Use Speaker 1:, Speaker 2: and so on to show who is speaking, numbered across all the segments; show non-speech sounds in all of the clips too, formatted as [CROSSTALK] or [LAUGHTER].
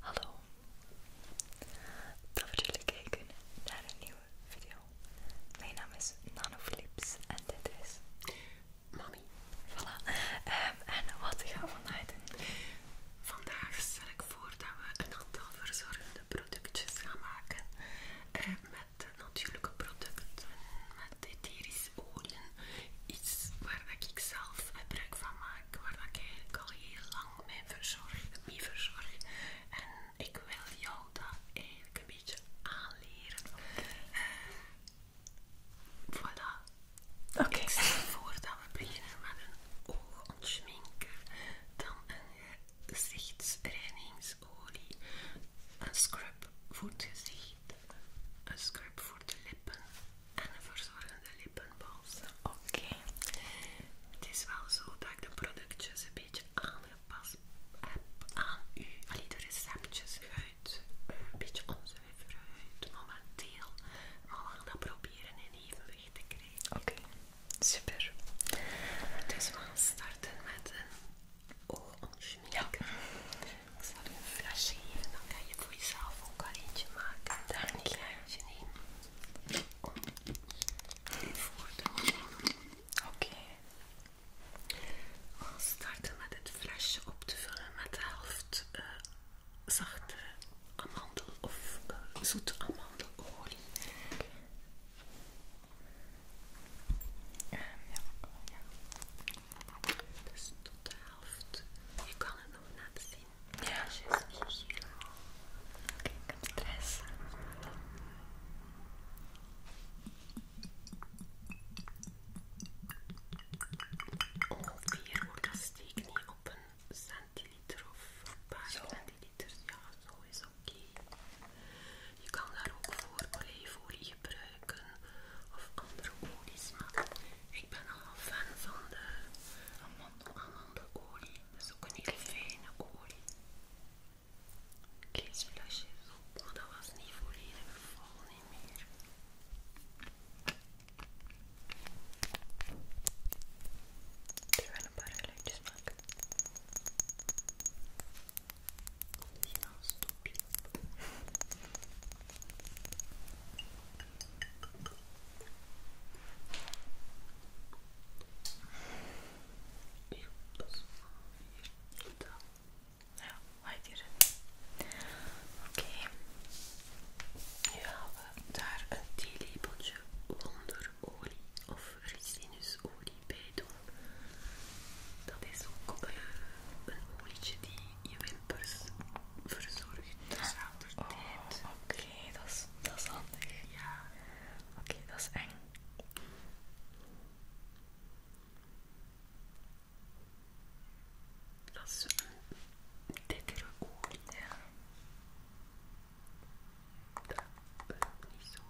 Speaker 1: Hallo, dat we jullie kijken naar een nieuwe video. Mijn naam is Nanoflips en dit is Mami. Voilà. Ehm, en wat gaan we vandaag doen? Vandaag stel ik voor dat we een aantal verzorgende productjes gaan maken. Eh, met natuurlijke producten, met etherische oliën. Iets waar ik zelf gebruik van maak waar ik eigenlijk al heel lang mee verzorg, verzorg. En ik wil jou dat eigenlijk een beetje aanleren. Ehm, voilà. oké, Ik stel voor dat we beginnen met een oogontschminker, dan een gezichtsreinigingsolie, een scrub voor het gezicht, een scrub voor de lippen, en een verzorgende lippenbalsem. Oké. Het is wel zo dat ik de productjes een beetje aangepast heb aan u. Allee, de receptjes uit. Eh, een beetje onzuiver momenteel. Maar we gaan dat proberen in evenwicht te krijgen. Oké, super. Dus we gaan starten met een oogontsmeer. Ja. Ik zal u een flesje geven, dan kan je voor jezelf ook al eentje maken. Daar niet Een eentje nemen. Oké. We gaan starten met het flesje op te vullen met de helft eh, zachte amandel of eh, zoete amandelolie. ja, Dus tot de helft. Je kan het nog net ja, juist. Oké, Kijk, heb stress. Ongeveer oh, wordt dat niet op een centiliter of een paar centiliter. Ja, zo is oké. Je kan daar ook voor olijfolie gebruiken of andere olies, maken. ik ben al fan van de amandel andere olie, dus ook een heel fijne olie. je op, maar dat was niet volledig vol, niet meer. Ik ga een paar geluidjes maken. al ja, hier. Oké. Nu gaan we daar een theelepeltje wonderolie of ricinusolie bij doen. Dat is ook een olietje die je wimpers verzorgt altijd. Oh, Oké, okay, dat, is, dat is handig. Ja. Oké, dat is eng. Dat is een dikkere oor. Ja. Dat is niet zo.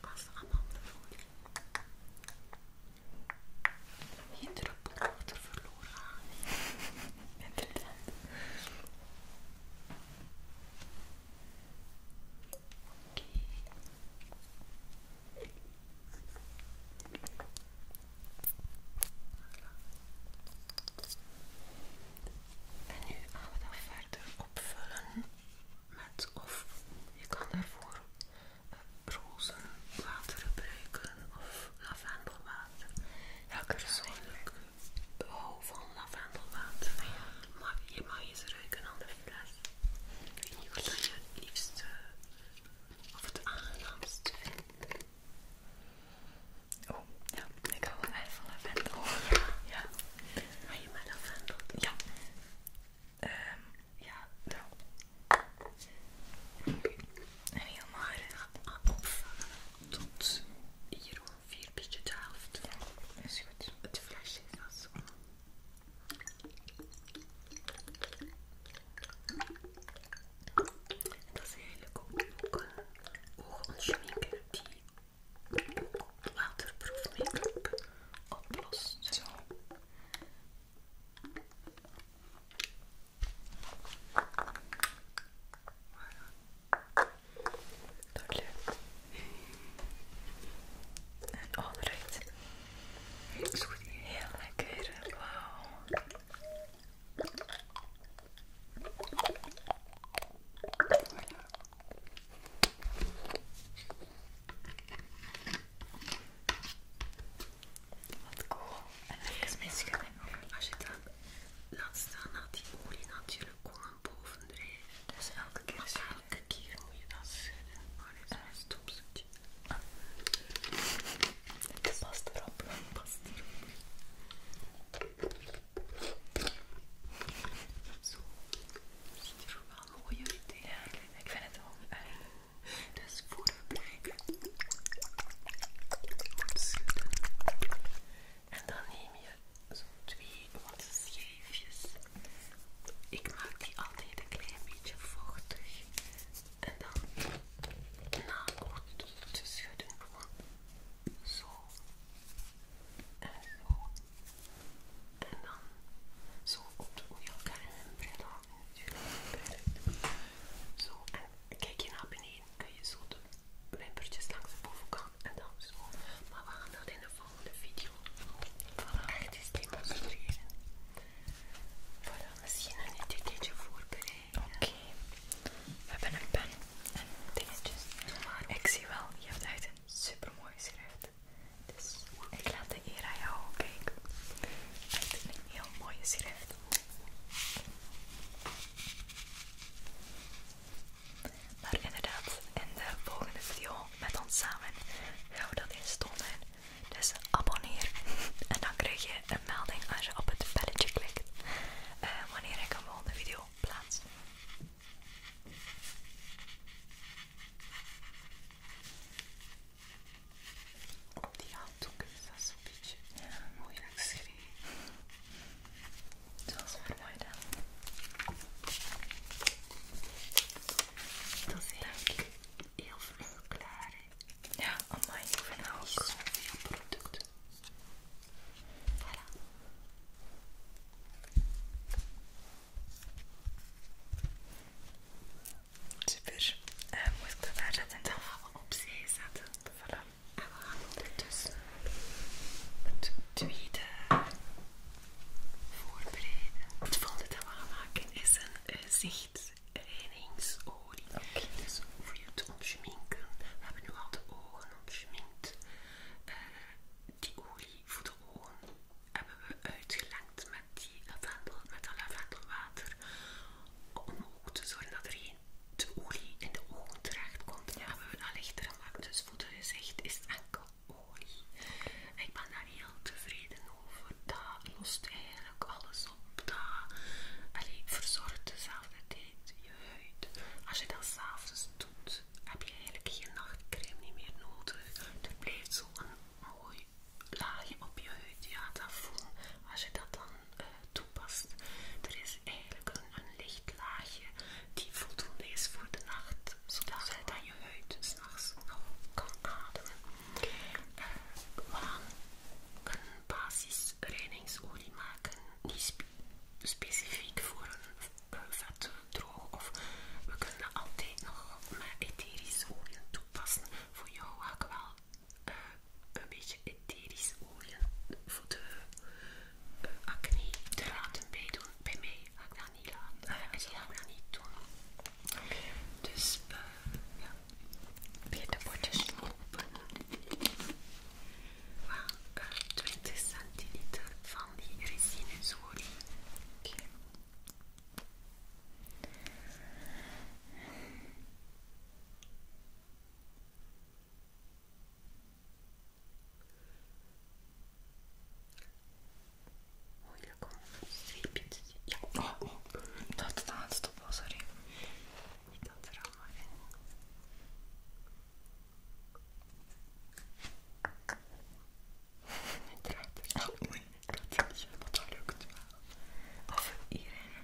Speaker 1: past Als de andere voor geen druppel water verloren gaan. Inderdaad. Oké. En nu gaan we dat verder opvullen met of je kan daarvoor eh, water gebruiken of lavendelwater. Ja, persoonlijk hou van lavendelwater. Nou maar je mag eens ruiken aan de fles. Ik weet niet wat je het liefst of het aangenaamste. vindt. Oh, ja, ik hou wel echt van lavendel. Ja. Maar je met lavendel? Ja. Um, ja, nou. Okay. En helemaal gaat opvangen tot hier ongeveer, beetje de helft. Het flesje is zo en Dat is eigenlijk ook, ook een eh, oogontschminker die ook waterproof make-up oplost. Zo. Dat lukt. En onderuit. Is Heel lekker. Wat cool. En even mijn schudding Als je dat laat staan, laat die olie natuurlijk gewoon boven Dus elke keer maar keer moet je dat schudden. Maar oh, dat is een de Ah. past erop. Zo. Ziet er wel mooi uit. Ja, ik vind het wel. Eh, dus voeder blijven. Goed schudden. En dan neem je zo'n twee wat schijfjes. Ik maak die altijd een klein beetje vochtig. En dan na goed te schudden gewoon zo. En zo. En dan zo op de elkaar zo, en kijk je naar beneden, kun je zo de wimpertjes langs de bovenkant en dan zo. Maar we gaan dat in de volgende video echt eens demonstreren. Voilà, misschien een etiketje voorbereiden. Oké, we hebben een pen en dingetjes. Ik zie wel, je hebt echt een super mooie schrift. Dus ik laat de eer aan jou kijken. Echt een heel mooie schrift. Maar inderdaad, in de volgende video met ons samen gaan we dat eens Dus abonneer en dan krijg je een melding als je op het belletje klikt eh, wanneer ik een volgende video plaats. Op die handdoeken, is dat zo'n beetje ja. moeilijk schreef. Dat is mooi dan. Dat is denk ik heel veel klaar. Hè? Ja, allemaal ik vind het ook. producten. Voilà. Super. Eh, moet ik dat daar zetten? Dan gaan we opzij zetten. Dan En we gaan ondertussen het tweede voorbereiden. Het volgende dat we gaan maken is een gezichtsreinigingsolie. Eh, okay. Dus voor je te ontschminken. We hebben nu al de ogen ontschminkt. Eh, die olie voor de ogen hebben we uitgelengd met, die lavendel, met dat lavendelwater om ook te zorgen dat er geen olie in de ogen terecht komt. Ja. Hebben we dat lichter gemaakt. Dus voor gezicht is enkel olie. ik ben daar heel tevreden over. Dat lost eigenlijk alles op. Dat verzorgt dezelfde tijd je huid. Als je dat s'avonds doet, heb je eigenlijk geen nachtcreme niet meer nodig. Er blijft zo'n mooi laagje op je huid. Ja, dat voel Als je dat dan toepast. Er is eigenlijk een, lichtlaagje licht laagje die voldoende is voor de nacht, zodat uh, dan je huid s'nachts nog kan ademen. Eh, we gaan een basisreinigingsolie maken, niet specifiek voor een uh, of we kunnen altijd nog met etherische olie toepassen. Voor jou ga ik wel een beetje etherisch olie voor de uh, acne te laten bijdoen. Bij mij ga ik dat niet laten. Ah, ja, en die gaan niet doen. Okay. Dus eh, ja, weer de bordjes open. Well, uh, 20 centiliter van die resinesolie. Okay. Moeilijk om een streepje te zien. Ja, oh, oh. dat het aan het stoppen, sorry. Ik had er allemaal in. Het ruikt er zo mooi. is lukt Of hierin.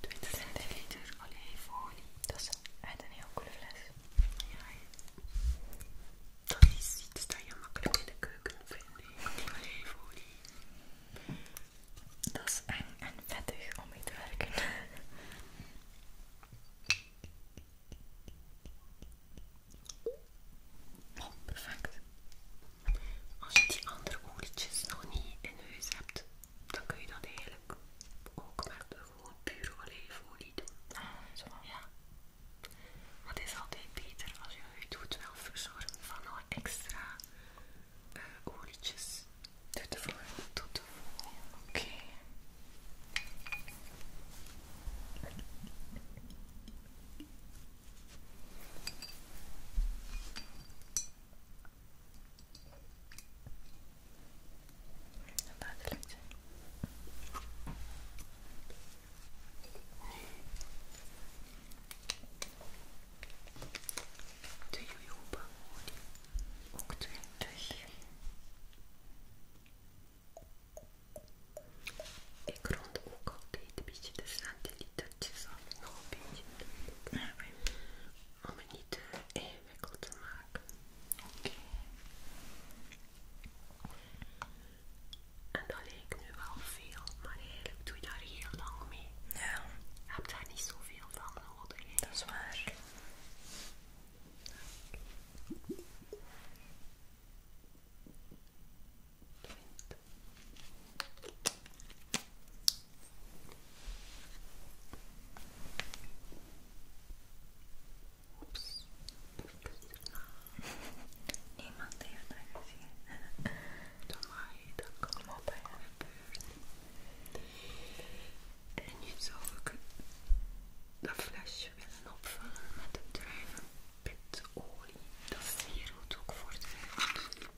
Speaker 1: 20 liter olijfolie. Dat is een heel coole fles. Ja, dat is iets dat je makkelijk in de keuken vindt. Olijfolie. Dat is eng en vettig om mee te werken. [LAUGHS] Oh, perfect. Als je die andere olietjes nog niet in huis hebt, dan kun je dat eigenlijk ook met gewoon pure olijfolie doen. Ah, ja. Maar het is altijd beter als je huid goed wel verzorgen van al extra eh, olietjes. Tot de volgende. Tot de volgende. Oké. Een buitenluchtje. De jojoba op ook twintig. Ik rond ook altijd een beetje de centilitertjes af, nog een om het niet te eh, ingewikkeld te maken. Oké. En dat leek nu wel veel, maar eigenlijk doe je daar heel lang mee. Ja. Je daar niet zoveel van nodig. Dat is waar. Oeps. Niemand heeft dat gezien. Doe maar, dat komt op bij En je zou ook dat flesje willen opvangen met de olie Dat is hier goed ook voor de huid.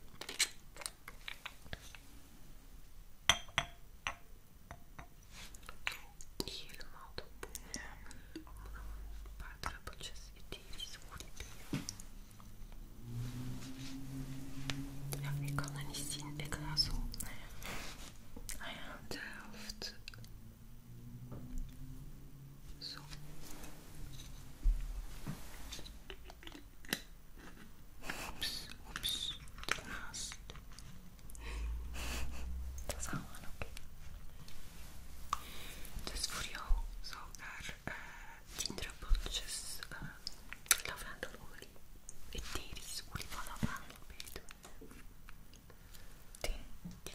Speaker 1: Niet helemaal te boeren. een paar druppeltjes. Het is goed Ja, ik kan dat niet zien. Ik ga zo. Ah ja, de helft. Zo. Oeps, oeps, daarnaast. Dat is allemaal oké. Dus voor jou zou daar uh, eh, 10 druppeltjes uh, lavendelolie, etherisch olie van lavendel bij doen. 10, 10,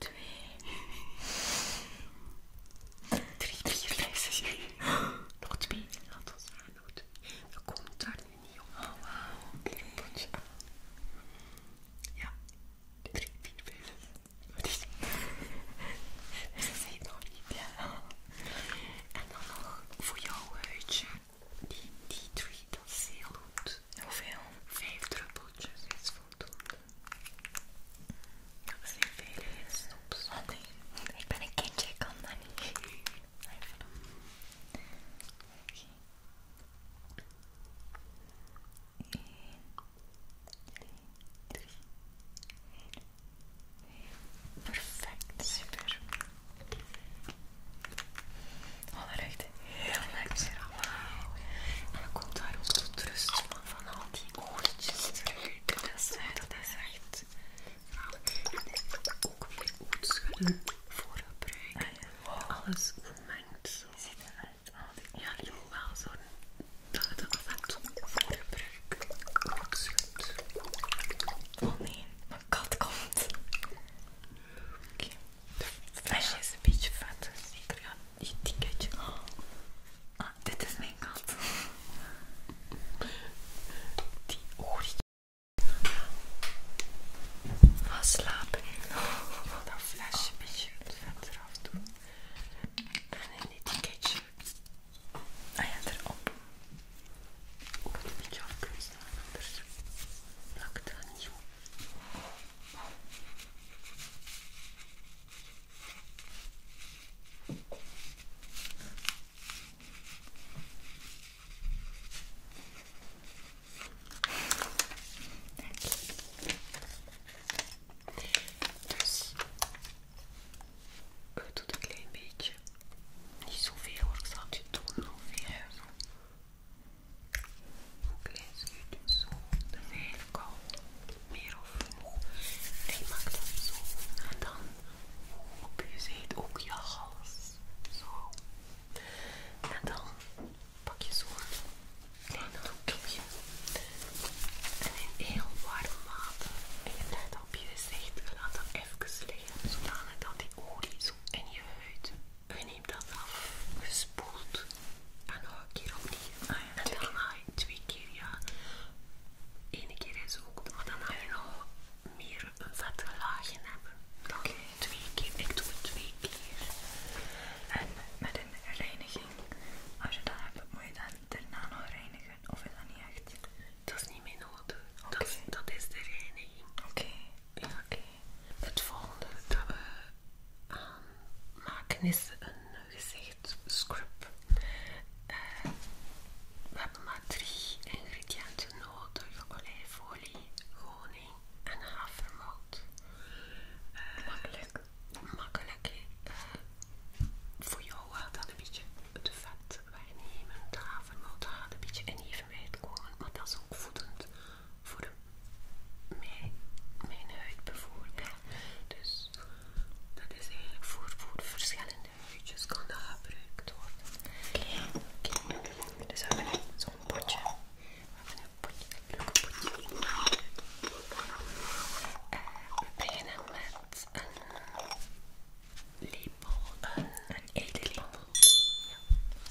Speaker 1: 2, 3, 4, 5, nog 2, laat ons aan, Dat komt daar nu niet op. Oh, wauw. potje. Ja, 3, 4, 5, 6. Wat is Zit nog niet. Ja. En dan nog voor jouw huidje, die, die 3, dat is heel goed. Hoeveel? Vijf druppeltjes is voldoende. Dat is niet veel, is op oh, nee. Ik ben een kindje, ik kan dat niet. Nee. Even. Eén, twee, drie. Perfect, super. Oh, dat ruikt heel leuk lekker allemaal. En dan komt daar ook tot rust van, van al die oortjes terug. Dat is, echt... Nou, en ook weer ootschudden voor gebruik. Ah, oh. Alles gemengd zo. Ziet eruit. ja, je moet wel zo dat het af en toe voor gebruik Oh nee, mijn kat komt. Oké flesje is een beetje vet, ik krijg een ticketje. Ah, dit is mijn kat. Die ik. Ga slapen Ik wil dat flesje een beetje het vet eraf doen. En ah, een etiketje. Ah ja, erop. Ook een beetje afkruisen, anders plakt dat niet dus ik doe het een klein beetje. Niet zoveel hoor, ik zal je doen Oké, je schuitje? Zo. Dat is eigenlijk meer of genoeg. En maak dat zo. En dan op je zijde ook je hals. Zo. En dan pak je zo'n klein doekje. En in heel warm water. En je let op je gezicht. Laat dat even liggen. Zodat die olie zo in je huid neem dat af, gespoeld en nog een keer opnieuw. en dan ga ah, je twee keer, ja. Eén keer is ook, maar dan ga je nog meer een vette laagje hebben. Dan twee keer, ik doe het twee keer. En met een reiniging, als je dat hebt, moet je dat daarna nog reinigen of is dat niet echt? Dat is niet meer nodig. Dat, is de reiniging. Oké. Ja, oké. Het volgende dat we maken is een gezegd scrub. Eh, we hebben maar drie ingrediënten nodig: olijfolie, honing en havermout. Eh, makkelijk. Makkelijk. Eh, voor jou gaat dat een beetje het vet wegnemen. De havermout gaat een beetje in evenwijd komen, maar dat is ook voedend voor mijn, mijn huid bijvoorbeeld. Dus dat is eigenlijk voor, voor verschillende huidjes kan dat gebruikt worden. Oké, oké. dus we hebben zo'n potje. We hebben een potje, een leuk potje. Eh, met een lepel, een, een eetlepel. Ja,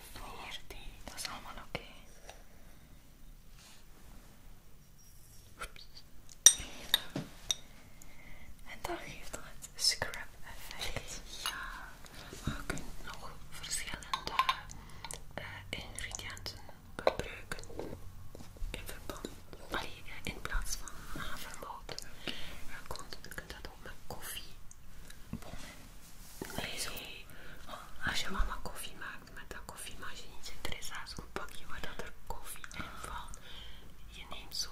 Speaker 1: afweerde. Dat is allemaal oké. Okay. En dat geeft dat het scrap effect. Ja, maar je kunt nog verschillende eh, ingrediënten gebruiken in verband. in plaats van havermout. Je kunt dat ook met koffie Nee. Als je mama koffie maakt met dat koffie, maar als je niet zit, er is je maar dat er koffie in valt. Je neemt zo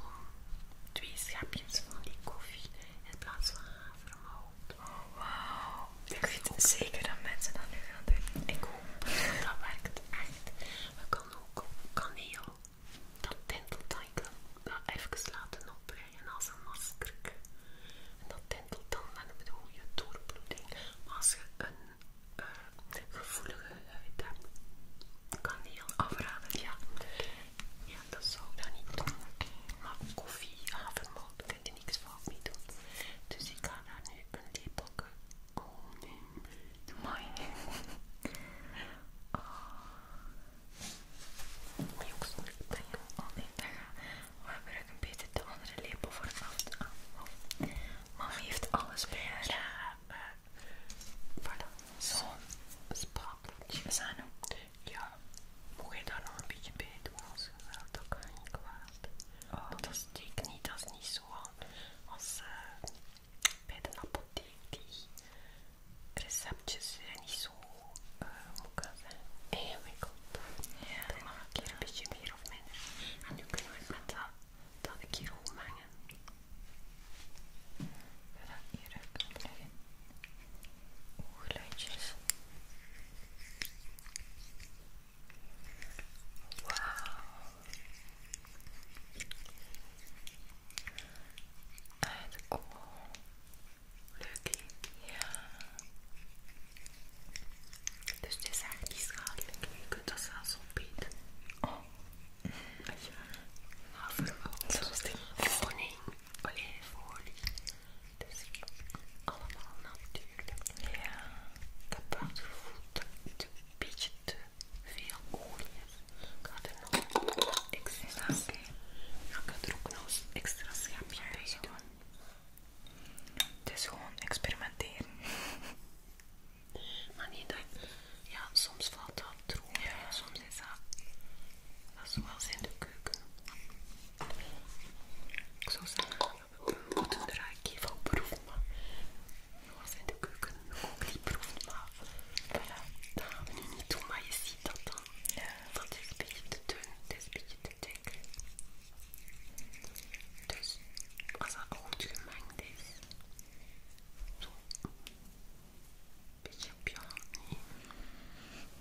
Speaker 1: twee schepjes van die koffie in plaats van havermout. wauw. Ik vind zeker dat mensen dat nu gaan doen. Ik hoop dat dat werkt echt. We kan ook kaneel, dat tintelt dan, ik dat even laten op en als een masker. En dat tintelt dan met een goede doorbloeding. Maar als je een eh, gevoelige huid eh, hebt, kan die heel afraden. Ja. ja, dat zou ik dan niet doen. Maar koffie, avondmaal, daar kun je niks fout mee doen. Dus ik ga daar nu een lepelke. Oh nee, doe Jokson, ik ben jou al in te gaan. We gebruiken beter de andere lepel voor het af te aan. Mama heeft alles bij haar. Ja, uh, eh, voilà. Zo'n sprakeltje. Zanu, ja, moet je daar nog een beetje bij doen als je wilt? Dat kan je kwaad. Oh. Want dat steekt niet, dat is niet zo als eh, bij de apotheek. Die receptjes zijn niet zo zo, uh, hoe kan dat zijn? En mijn kop. Ja, dan mag ik hier een beetje meer of minder. En nu kunnen we met dat, dat ik hier goed mengen. Ga dat hieruit opleggen. Oogluidjes. Wauw. En oh, Leuk Ja. Dus het is echt niet schadelijk. Je kunt dat zelfs opeten. Oh. Echt waar? Maar nou, verwoord. Zoals de honing. Oh, dus allemaal natuurlijk. Ja. Ik heb wel een beetje te veel olie is. Ik er nog... Ik ik er ook nog eens extra schapje bij doen. Het is gewoon experimenteren. maar niet dat... Ja, soms valt dat droog. Ja. Soms is dat... Dat is in de keuken. Ik zou zeggen, we moeten er even op proeven, maar... zijn in de keuken ook niet proeven, maar... Voilà, dat gaan niet doen, maar je ziet dat dat want een beetje te dun, dit is een beetje te dik. Dus als het goed gemengd is, zo beetje op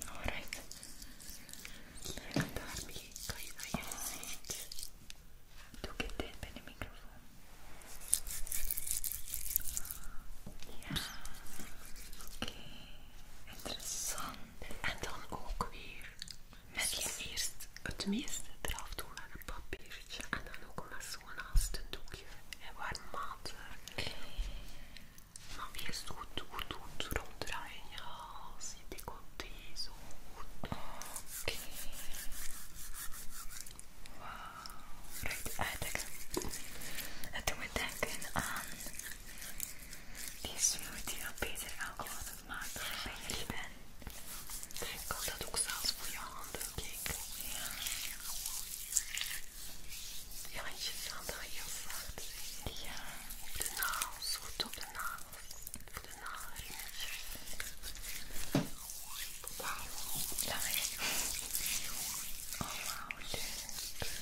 Speaker 1: Alright. Dan kan je je Doe ik het bij de microfoon. Ja, oké. Interessant. En dan ook weer met eerst het meeste eraf doen met een papiertje. En dan ook maar zo'n haast een doekje. En warm water. Eh, maar eerst goed, goed, goed ronddraaien. Ja, zie die komt zo goed. Oké. Okay. Wauw. Right, uitdekken. Het doet me denken aan die smoothie wel beter alcohol aan het maken ik ben. Ik kan dat ook zelfs voor je handen, kijk. Ja. je handen heel zacht de nagels, goed op de nagels. de nagelringetjes. Wauw. Laat Oh, wauw,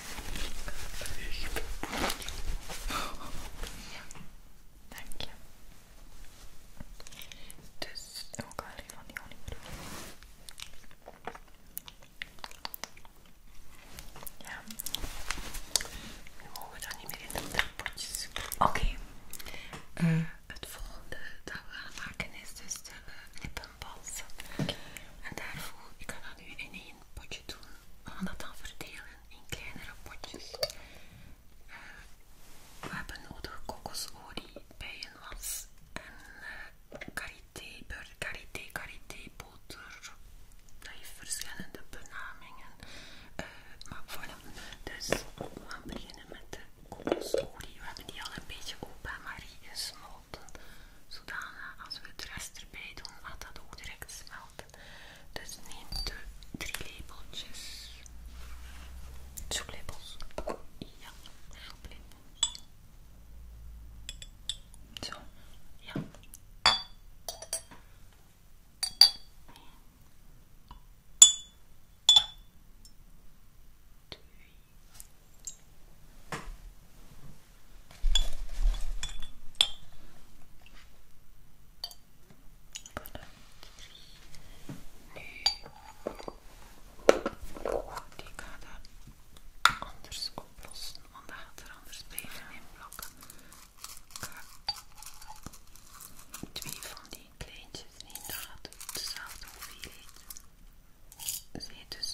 Speaker 1: Echt. Ja, dank je. Dus ook alleen van die honingbroek. Ja. Nu mogen we dat niet meer in de potjes. Oké. Eh, het volgende dat we gaan maken is dus de lippenbalsem. Eh, en daarvoor, ik ga dat nu in één potje doen we gaan dat dan verdelen in kleinere potjes. Eh, we hebben nodig kokosolie, bijenwas en eh, karité, karité, karité, boter. Dat heeft verschillende benamingen. Eh, maar maar voilà, dus we gaan beginnen met de kokosolie. We hebben die al een beetje op bij Marie gesmolten. Zodanig als we het rest erbij doen, gaat dat ook direct smelten. Dus neem de drie lepeltjes Ja, Zo, ja. Twee. Voilà. Nu, die gaat dat anders oplossen, want dat gaat er anders blijven in blokken. twee van die kleintjes nemen, dat dezelfde hoeveelheid zijn. Dus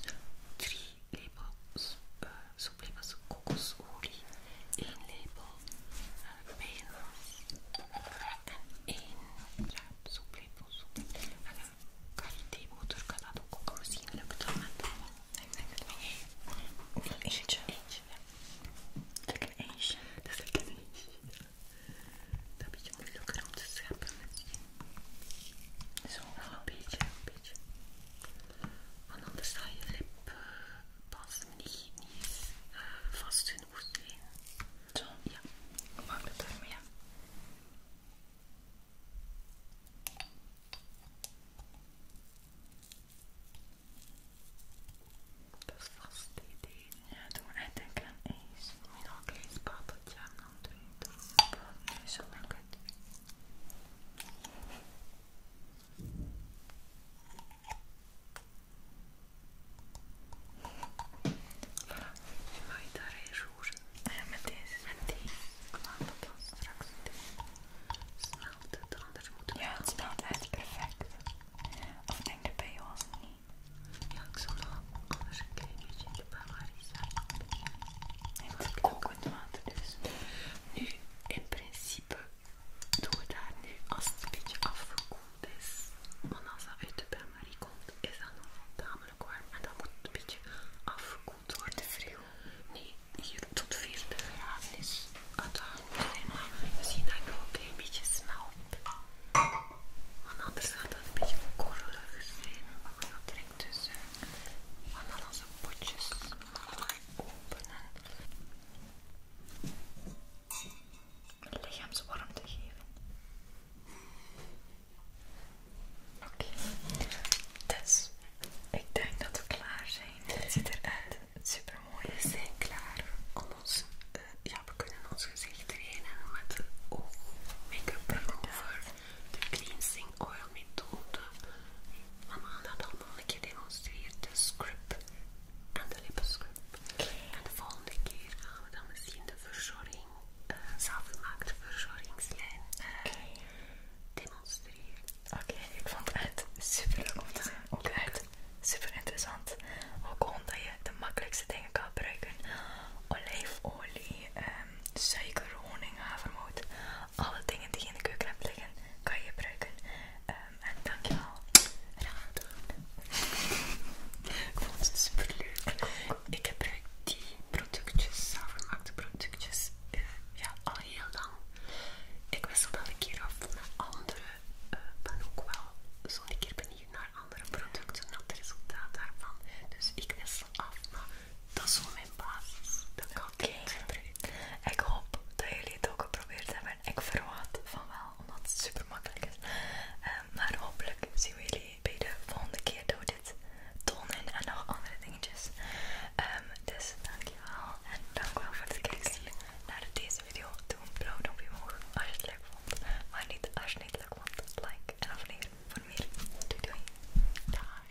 Speaker 1: drie lepels eh, Sublimas kokosolie, 1 lepel, peanas en 1 ja, soeplepel. Eh, en een kariteemotor kan dat ook koken. Misschien lukt met een eentje. Eentje, ja. Dat is een eentje. Dat is een eentje. Dat is een om te scheppen Zo, een beetje, een beetje. Want anders zal je lip eh, pas niet, niet eh, vast genoeg zijn. Zo? Ja. Mag het daarmee? Dat is vast idee. Ja, doe maar denk aan eens. Moet je nog doen? Doe. zo makkelijk. Voilà, je mag je daarin met deze. en deze. Ik dat dan straks snelt. het, anders moet Ja, het is perfect. Of denk je bij jou als niet? Ja, ik zal nog een klein beetje de het dus. Nu, in principe doen we daar nu als het een beetje afgekoeld is. Want als dat uit de bain-marie komt, is dat nog tamelijk warm. En dat moet een beetje afgekoeld worden. Vril. Nee, hier tot 40 graden is het warm. Dus we zien dat ik nog een beetje smelt. Want anders gaat dat een beetje korrelig zijn. Maar dat direct dus. Want dan onze potjes openen. lichaamswarmte geven. Oké, dus ik denk dat we klaar zijn. Het ziet eruit super We zijn klaar om ons, eh, ja, we kunnen ons gezicht trainen met oog make-up remover, de cleansing oil methode. Mama had Volgende demonstreer keer De scrub en de lippenscrub. En de volgende keer gaan we dan misschien de verzorging, uh, eh, zelfgemaakte verzorgingslijn eh, demonstreren. Oké, ik vond het super leuk om te zien. Ook uit. Super interessant. Ook omdat je de makkelijkste dingen kan gebruiken: olijfolie, ehm, suiker, honing, havermout alle dingen die je in de keuken hebt liggen, kan je gebruiken. Ehm, en dankjewel. Raar doen. Ik vond het super leuk. Ik gebruik die productjes, zelfgemaakte productjes, eh, ja, al heel lang. Ik wissel wel een keer af naar andere. dan eh, ook wel zo'n keer benieuwd naar andere producten, naar het resultaat daarvan. Dus ik wissel af, dat is voor mijn basis. Dat kan okay. niet. Ik hoop dat jullie het ook geprobeerd hebben. Ik verwacht van wel, omdat het super makkelijk is. Ehm, maar hopelijk zien we jullie bij de volgende keer door dit tonen en nog andere dingetjes. Um, dus dankjewel en dankjewel voor het kijken naar deze video. Doe een blauw duimpje omhoog als je het leuk vond. Maar niet als je het niet leuk vond, like en abonneer voor meer. Doei doei. Dag.